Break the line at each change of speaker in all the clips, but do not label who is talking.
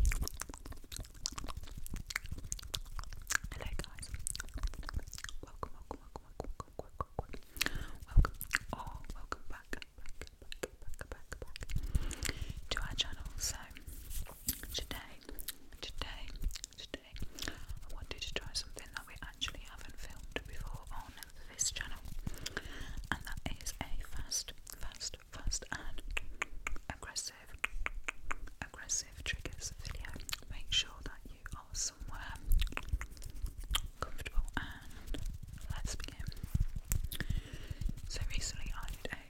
Hello guys. Welcome, welcome, welcome, welcome, welcome, welcome, welcome. Oh, welcome back, back, back, back, back, back to our channel. So today, today, today, I wanted to try something that we actually haven't filmed before on this channel, and that is a fast, fast, fast, fast aggressive, aggressive triggers video. Make sure that you are somewhere comfortable and let's begin. So recently I did a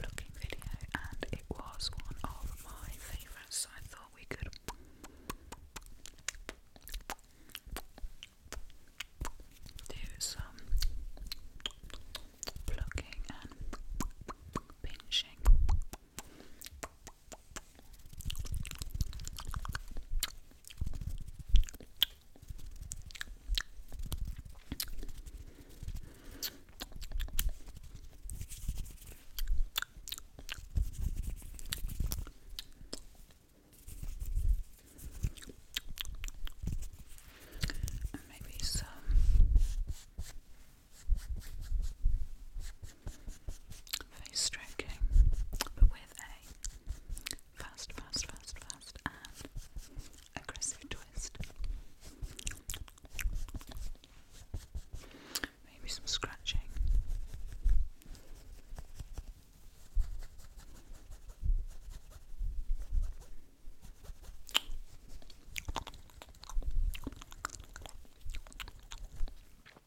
plucking video and it was one of my favourites so I thought we could do some plucking and pinching maybe some face stroking, but with a fast, fast, fast, fast, and aggressive twist. Maybe some scratching.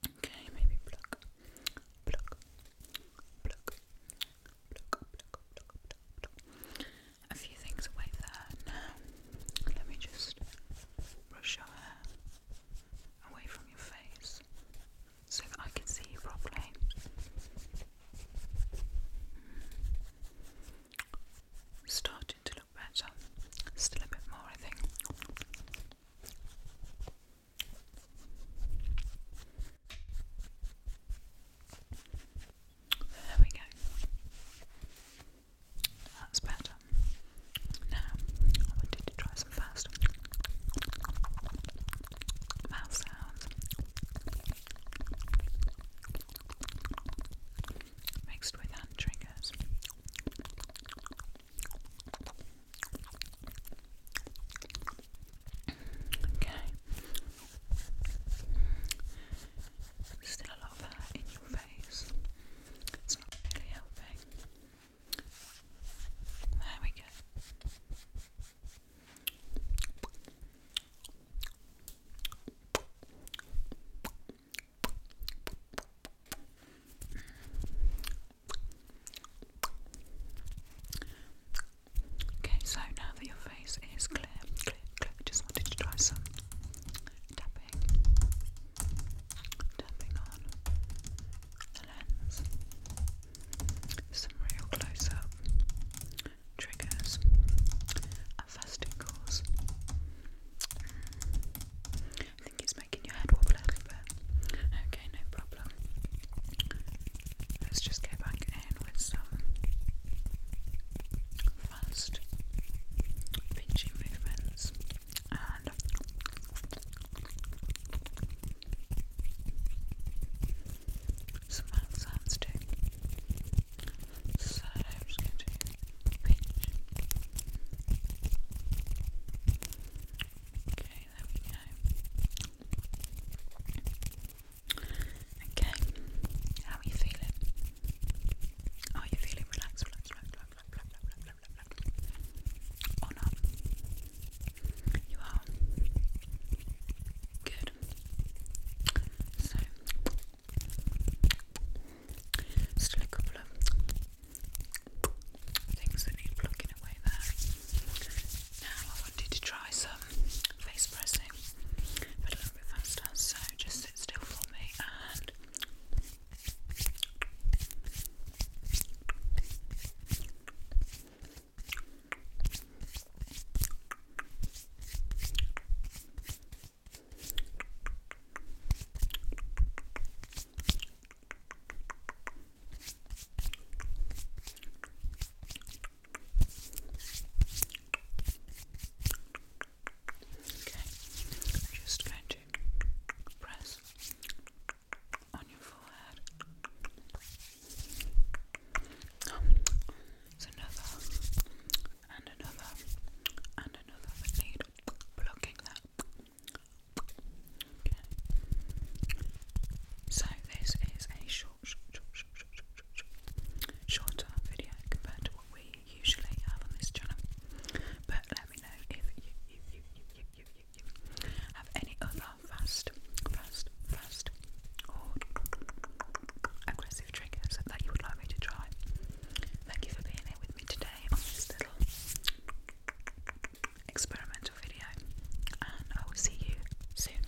Okay, maybe pluck, pluck, pluck, pluck, pluck, pluck, pluck. A few things away there Let me just brush your hair away from your face so that I can see you properly. Mm. Starting to look better. Still a bit more, I think. There we go. That's better. Now, I wanted to try fast mouth sounds. Mixed with hand triggers. Okay. Still a lot of hair in your face. It's not really helping. There we go. Okay, so now that your face is clear, clear, clear, just wanted to try some tapping, tapping on the lens, some real close up triggers, a fast tingles. I think it's making your head wobble Okay, no problem. Let's just go back in with some fast pinching movements and some mouth So I'm just going to pinch. Okay, there we go. Okay, how are you feeling? Are you feeling relaxed, or not. You are. Good. So, still a couple of things that need plugging away there. Now, I wanted to try some face pressing, but a little bit faster, so just sit still for me and. Okay, I'm just going to press on your forehead. another and another and another need blocking that. So this is a short, shorter video compared to what we usually have on this channel. But if you, you, you, you, you, you, you have any other fast, fast, fast or aggressive triggers that you would like me to try. Thank you for being here with me today on this little experimental video, and I will see you soon.